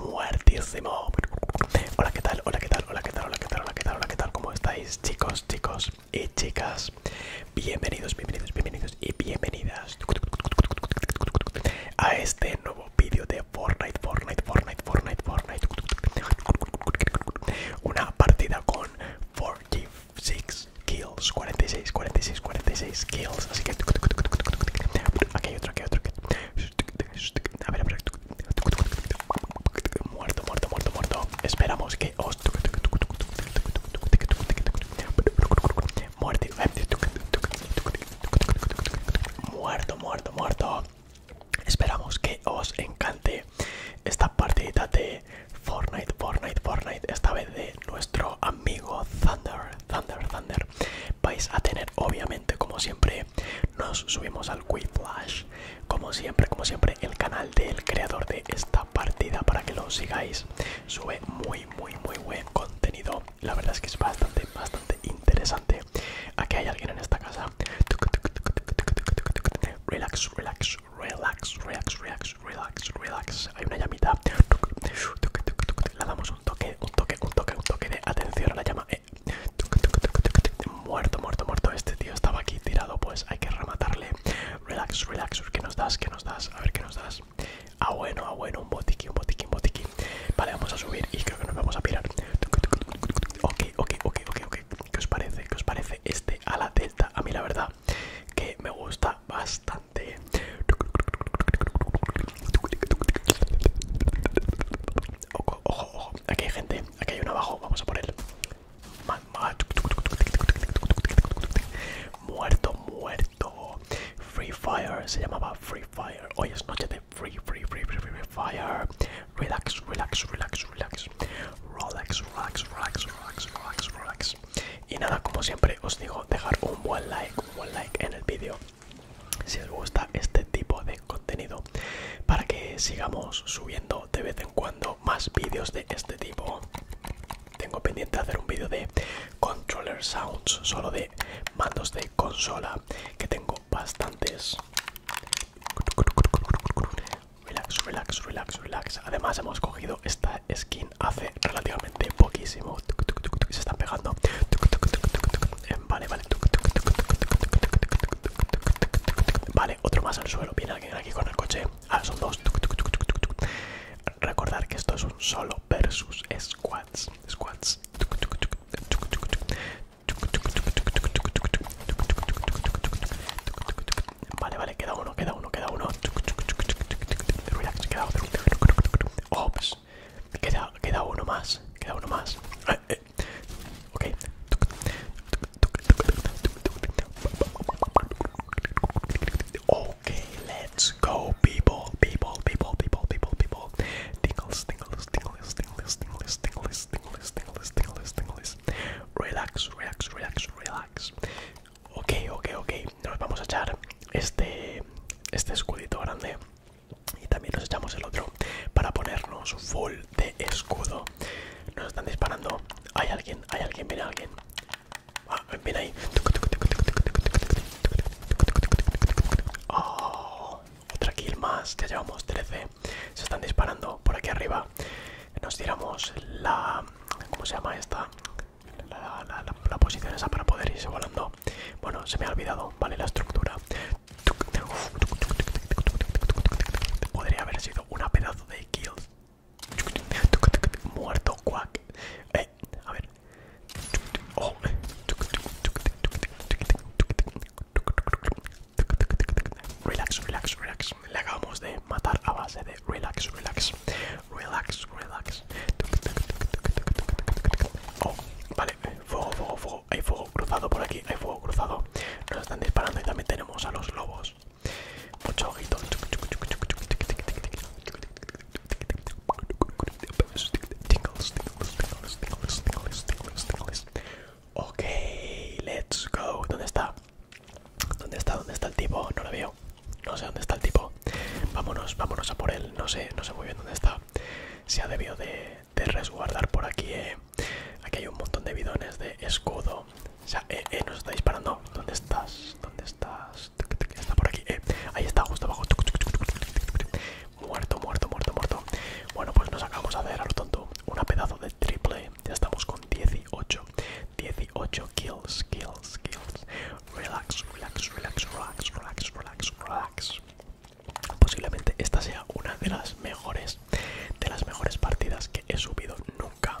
Muertísimo. Hola, ¿qué tal? Hola, ¿qué tal? Hola, ¿qué tal? Hola, ¿qué tal? Hola, ¿qué tal? Hola, tal? ¿Cómo estáis, chicos, chicos y chicas? Bienvenidos, bienvenidos, bienvenidos y bienvenidas a este nuevo vídeo de Fortnite, Fortnite, Fortnite, Fortnite, Fortnite. Una partida con 46 kills, 46, 46, 46 kills. Así que aquí otro, otro. Muerto, muerto, muerto, muerto. Esperamos que Muerto, muerto, muerto. Esperamos que os encante esta partida de Fortnite, Fortnite, Fortnite, esta vez de nuestro amigo Thunder, Thunder, Thunder. Vais a tener, obviamente, como siempre, nos subimos al Quick Flash, como siempre, como siempre, el canal del creador de esta partida para que lo sigáis. Sube muy, muy, muy buen contenido. La verdad es que es bastante, bastante interesante aquí hay alguien en esta casa. Relax, relax, relax, relax, relax, relax, Hay una llamita. La damos un toque, un toque, un toque, un toque de atención a la llama. Muerto, muerto, muerto. Este tío estaba aquí tirado, pues hay que rematarle. Relax, relax. ¿Qué nos das? ¿Qué nos das? A ver, ¿qué nos das? Ah, bueno, ah, bueno. Un botiquín, un botiquín, un botiquín. Vale, vamos a subir y creo que nos vamos a pirar. Ok, ok, ok, ok, ok. ¿Qué os parece? ¿Qué os parece este a la delta? A mí la verdad que me gusta bastante. Ojo, ojo, ojo. Aquí hay gente. Aquí hay uno abajo. Vamos a por él. Muerto, muerto. Free Fire. Se llamaba Free Fire. Hoy es noche de free, free, free, free, free fire. Relax, relax, relax, relax. Relax, relax, relax, relax, relax, relax. Y nada, como siempre os digo, dejar un buen like, un buen like en el vídeo si os gusta este tipo de contenido para que sigamos subiendo de vez en cuando más vídeos de este tipo. Tengo pendiente hacer un vídeo de controller sounds, solo de mandos de consola que tengo bastantes relax relax relax relax además hemos cogido esta skin hace relativamente poquísimo se están pegando eh, vale vale vale otro más al suelo viene alguien aquí con el coche ah son dos recordar que esto es un solo versus squads squats. Vale, vale, queda uno, queda uno, queda uno. Relax, queda otro. Ops, oh, queda, queda uno más, queda uno más. Eh, eh. Ok. Okay, let's go, people, people, people, people, people, people. tingles, tingles, tingles, tingles, tingles, tingles, tingles, tingles, tingles, tingles. Relax, relax, relax, relax. okay okay okay Nos vamos a echar este, este escudito grande y también nos echamos el otro para ponernos full de escudo. Nos están disparando. Hay alguien, hay alguien, viene alguien. Ah, ahí. Oh, otra kill más, ya llevamos 13. Se están disparando por aquí arriba. Nos tiramos la... ¿Cómo se llama esta? La, posición esa para poder irse volando. Bueno, se me ha olvidado, ¿vale? La estructura. Podría haber sido una pedazo de kill. Muerto, cuac. Eh, a ver, Relax, relax, relax. Le acabamos de matar a base de relax, relax, relax, relax. Oh, vale, fuego, fuego, fuego. Hay fuego cruzado por aquí, hay fuego cruzado. Nos están disparando y también tenemos a los lobos. Mucho ojito. Ok, let's go. ¿Dónde está? ¿Dónde está? ¿Dónde está el tipo? No lo veo. No sé dónde está el tipo. Vámonos, vámonos a por él. No sé, no sé muy bien dónde está. Se ha debido de, resguardar por aquí. Eh. Aquí hay un montón de bidones de escudo. O sea, eh, eh, nos está disparando. ¿Dónde estás? ¿Dónde Está por aquí, eh. ahí está, justo abajo Muerto, muerto, muerto, muerto Bueno, pues nos acabamos de hacer a lo tonto Una pedazo de triple Ya estamos con 18 18 kills, kills, kills Relax, relax, relax, relax, relax, relax, relax Posiblemente esta sea una de las mejores De las mejores partidas que he subido nunca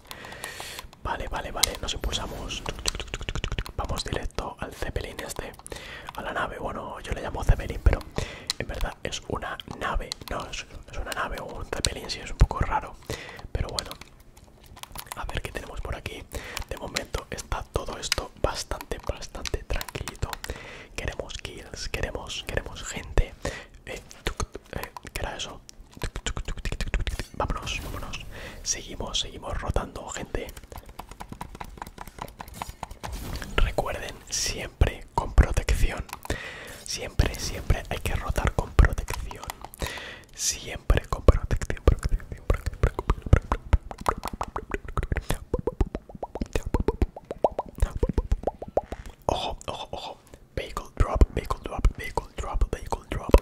Vale, vale, vale, nos impulsamos. Vamos directo al Zeppelin este, a la nave. Bueno, yo le llamo Zeppelin, pero en verdad es una nave. No, es, una nave o un Zeppelin, si es un poco raro. Pero bueno, a ver qué tenemos por aquí. De momento está todo esto bastante, bastante tranquilito. Queremos kills, queremos, queremos gente. que eh, eh, ¿Qué era eso? Vámonos, vámonos. Seguimos, seguimos rotando, gente. Recuerden, siempre con protección. Siempre, siempre hay que rotar con protección. Siempre con protección. Ojo, ojo, ojo. Vehicle drop, vehicle drop, vehicle drop, vehicle drop.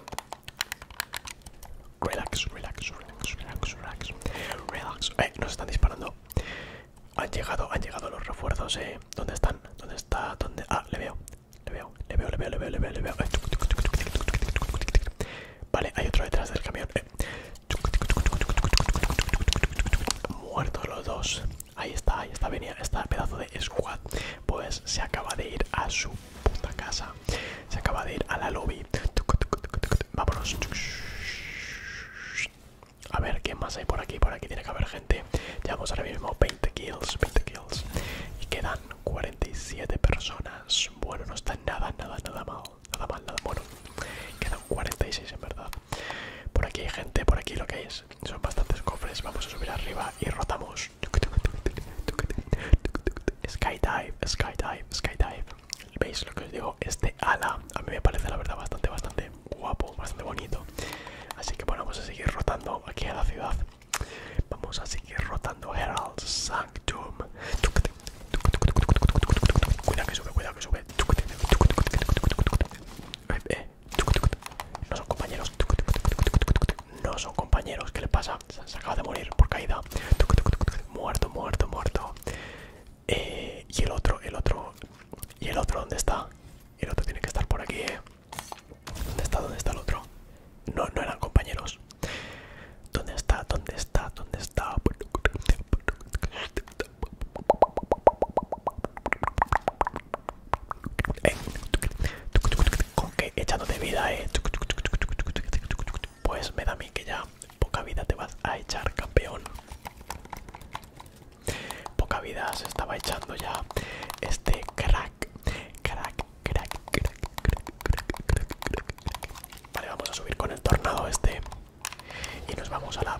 Relax, relax, relax, relax, relax. Relax. Eh, nos están disparando. Han llegado, han llegado los refuerzos, eh. ¿Dónde están? ¿Dónde está? ¿Dónde? Ah, le veo. Le veo, le veo, le veo, le veo, le veo, le veo. Vale, hay otro detrás del camión. Eh. Muertos los dos. Ahí está, ahí está, venía, está pedazo de squad. Pues se acaba de ir a su puta casa. Se acaba de ir a la lobby. Vámonos. A ver, ¿qué más hay por aquí? Por aquí tiene que haber gente. Llevamos ahora mismo 20 kills, 20 kills. Y quedan 47 personas. Bueno, no está nada, nada, nada mal. Nada mal, nada bueno. Quedan 46 en verdad. Por aquí hay gente, por aquí lo que es son bastantes cofres. Vamos a subir arriba y rotamos. Skydive, skydive, skydive. ¿Veis lo que os digo? Este ala a mí me parece la verdad bastante, bastante guapo, bastante bonito. Así que bueno, vamos a seguir rotando aquí a la ciudad. Vamos a seguir rotando Herald Sanctum. Cuidado que sube, cuidado que sube. Eh, eh. No son compañeros. No son compañeros. ¿Qué le pasa? Se acaba de morir por caída. Muerto, muerto, muerto. Eh, y el otro, el otro. ¿Y el otro dónde está? El otro tiene que estar por aquí, ¿eh? ¿Dónde está? ¿Dónde está el otro? No, no eran compañeros. ¿Dónde está? ¿Dónde está? ¿Dónde está? Con que de vida, eh. Pues me da a mí que ya poca vida te vas a echar, campeón. Poca vida se estaba echando ya este crack. Crack, crack, crack, crack, crack, crack, crack. Vale, vamos a subir con el tornado este. Y nos vamos a la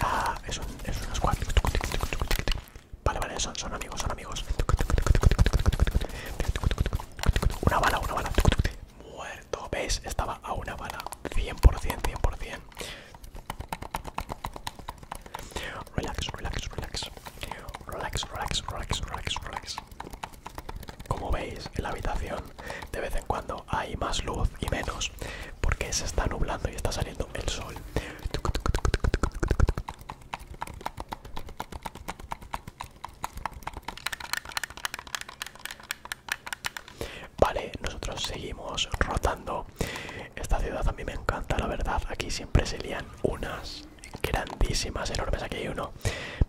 Ah, es un, es Vale, vale, son, son amigos, son amigos. Una bala, una bala. Muerto, ¿veis? Estaba a una bala. 100%, 100%. Relax, relax, relax. Relax, relax, relax, relax, relax. Como veis, en la habitación de vez en cuando hay más luz y menos porque se está nublando y está saliendo el sol Vale, nosotros seguimos rotando. Esta ciudad a mí me encanta, la verdad. Aquí siempre se unas grandísimas, enormes. Aquí hay uno.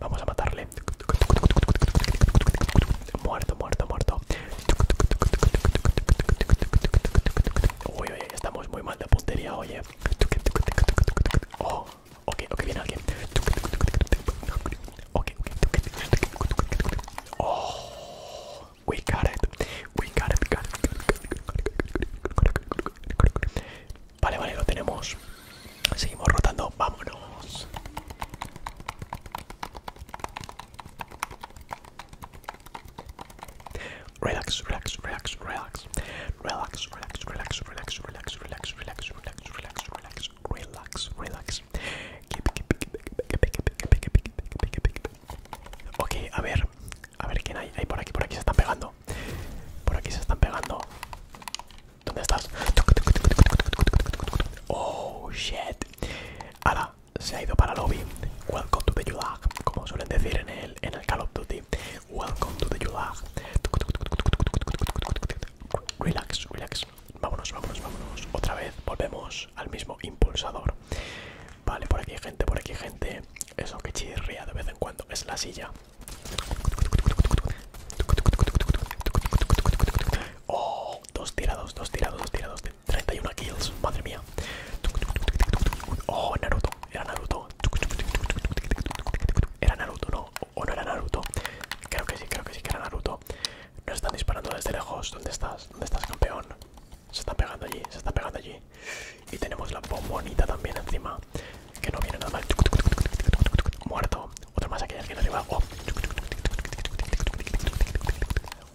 Vamos a matarle. Muerto, muerto, muerto oye, estamos muy mal de puntería, oye. Oh, ok, ok, viene alguien. Oh, we got it. We got it. Vale, vale, lo tenemos. Seguimos rotando, vámonos. Relax, relax, relax, relax. Relax, relax, relax, relax, relax, relax, relax, relax, relax, relax, relax, relax. Ok, a ver, a ver quién hay. por aquí, por aquí se están pegando. Por aquí se están pegando. ¿Dónde estás? Oh shit. Ahora se ha ido para lobby. Welcome to the Yulag, como suelen decir en el, en el Call of Duty. Welcome to the Yulag. Relax, relax. Vámonos, vámonos, vámonos. Otra vez volvemos al mismo impulsador. Vale, por aquí gente, por aquí gente. Eso que chirría de vez en cuando es la silla. Oh, dos tirados, dos tirados, dos tirados. 31 kills, madre mía. Oh, Naruto, era Naruto. Era Naruto, no, o no era Naruto. Creo que sí, creo que sí que era Naruto. Nos están disparando desde lejos. ¿Dónde estás? ¿Dónde estás, campeón? Se está pegando allí, se está pegando allí. Y tenemos la bombonita también encima. Que no viene nada mal. Muerto. Otro más aquí, alguien arriba. Oh.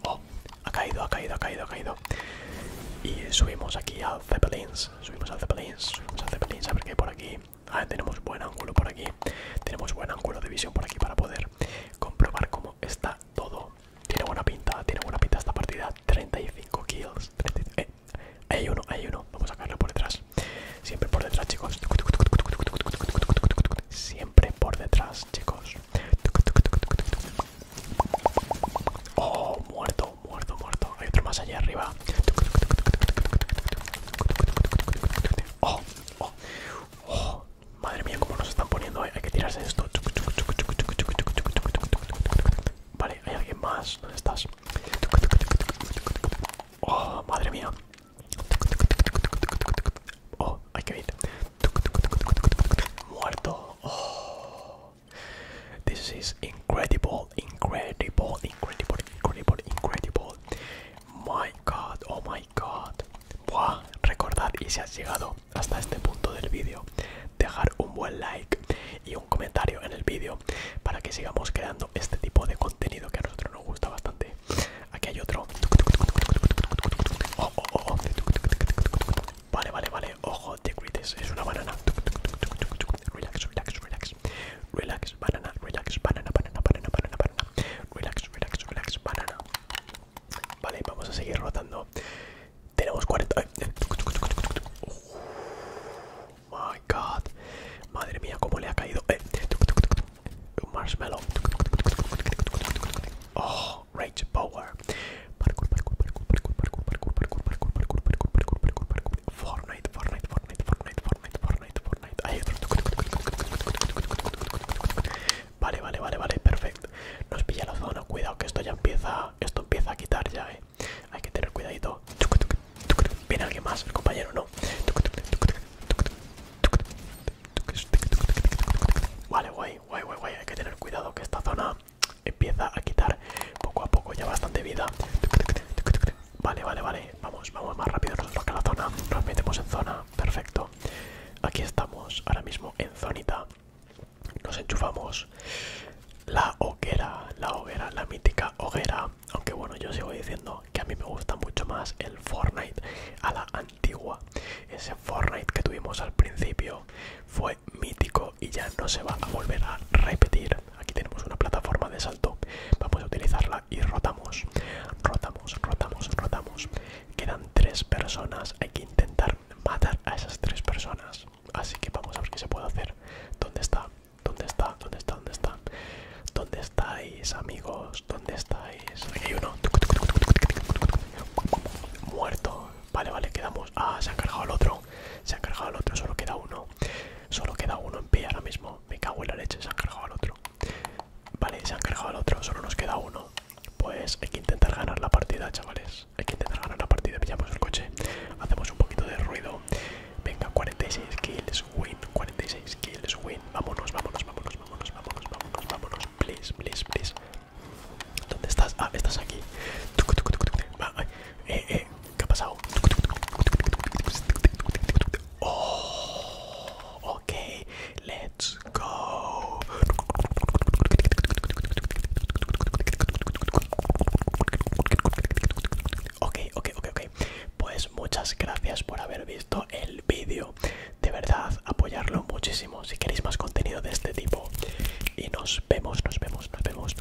oh. Ha caído, ha caído, ha caído, ha caído. Y subimos aquí al Zeppelins. Subimos al Zeppelins, subimos al Zeppelins. A ver qué por aquí. Ah, tenemos buen ángulo por aquí. Tenemos buen ángulo de visión por aquí para poder comprobar cómo está todo. Tiene buena pinta, tiene buena pinta esta partida. 35 kills. Eh, hay uno, hay uno. Vamos a sacarlo por detrás. Siempre por detrás, chicos. Siempre por detrás, chicos. Oh, muerto, muerto, muerto. Hay otro más allá arriba. Madre mía, cómo nos están poniendo. Hay que tirarse esto. Vale, hay alguien más. ¿Dónde estás? Oh, madre mía. Oh, hay que ir. Muerto. Oh. This is incredible, incredible, incredible, incredible, incredible. My god, oh my god. Buah, recordad y si has llegado hasta este punto del vídeo, dejar un buen like y un comentario en el vídeo para que sigamos creando este tipo de contenido que a nosotros nos gusta bastante. Aquí hay otro. Vale, vale, vale. Ojo, te grites, es una banana. Relax, relax, relax. Relax, banana, relax, banana, banana, banana, banana, Relax, relax, relax, banana. Vale, vamos a seguir rotando. Tenemos 40 my god. Madre mía, cómo le ha caído. marshmallow. Oh, rage power. Fortnite, Fortnite, Fortnite, Fortnite, Fortnite, Vale, vale, vale, vale, perfecto. Nos pilla la zona, cuidado que esto ya empieza, esto empieza a quitar ya, eh. Hay que tener cuidadito. Viene alguien más, el compañero, ¿no? Vale, guay, guay, guay, guay. Hay que tener cuidado que esta zona empieza a quitar poco a poco ya bastante vida. Vale, vale, vale. Vamos, vamos más rápido nosotros la zona. Nos metemos en zona. Perfecto. Aquí estamos, ahora mismo en zonita. Nos enchufamos la hoguera, la hoguera, la mítica hoguera. Aunque bueno, yo sigo diciendo que a mí me gusta mucho más el Fortnite a la antigua. Ese Fortnite que tuvimos al principio fue mítico y ya no se va a volver a repetir. Aquí tenemos una plataforma de salto. Vamos a utilizarla y rotamos. Rotamos, rotamos, rotamos. Quedan tres personas. Hay que intentar matar a esas tres personas. Así que vamos a ver qué se puede hacer. ¿Dónde está? ¿Dónde está? ¿Dónde está? ¿Dónde está? ¿Dónde estáis, amigos? ¿Dónde estáis? Aquí hay uno. Muerto. Vale, vale, quedamos. Ah, se ha cargado el otro. Se ha cargado el otro, solo queda uno. Solo queda uno en pie ahora mismo. Me cago en la leche, se han cargado al otro. Vale, se han cargado al otro, solo nos queda uno. Pues hay que intentar ganar la partida, chavales. Hay que intentar ganar la partida. Pillamos el coche. Hacemos un poquito de ruido. Venga, 46 kills, win. 46 kills, win. Vámonos, vámonos, vámonos, vámonos, vámonos, vámonos, vámonos. Please, please, please. ¿Dónde estás? Ah, estás aquí. Eh, eh, ¿qué ha pasado? Oh, ok, let's go. Ok, ok, ok, ok. Pues muchas gracias por haber visto el vídeo. De verdad, apoyarlo muchísimo si queréis más contenido de este tipo. Y nos vemos, nos vemos, nos vemos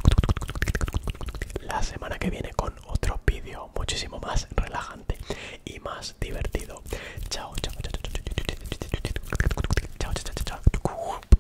la semana que viene con otro vídeo muchísimo más relajante y más divertido. Chao, chao, chao, chao, chao, chao, chao, chao, chao, chao.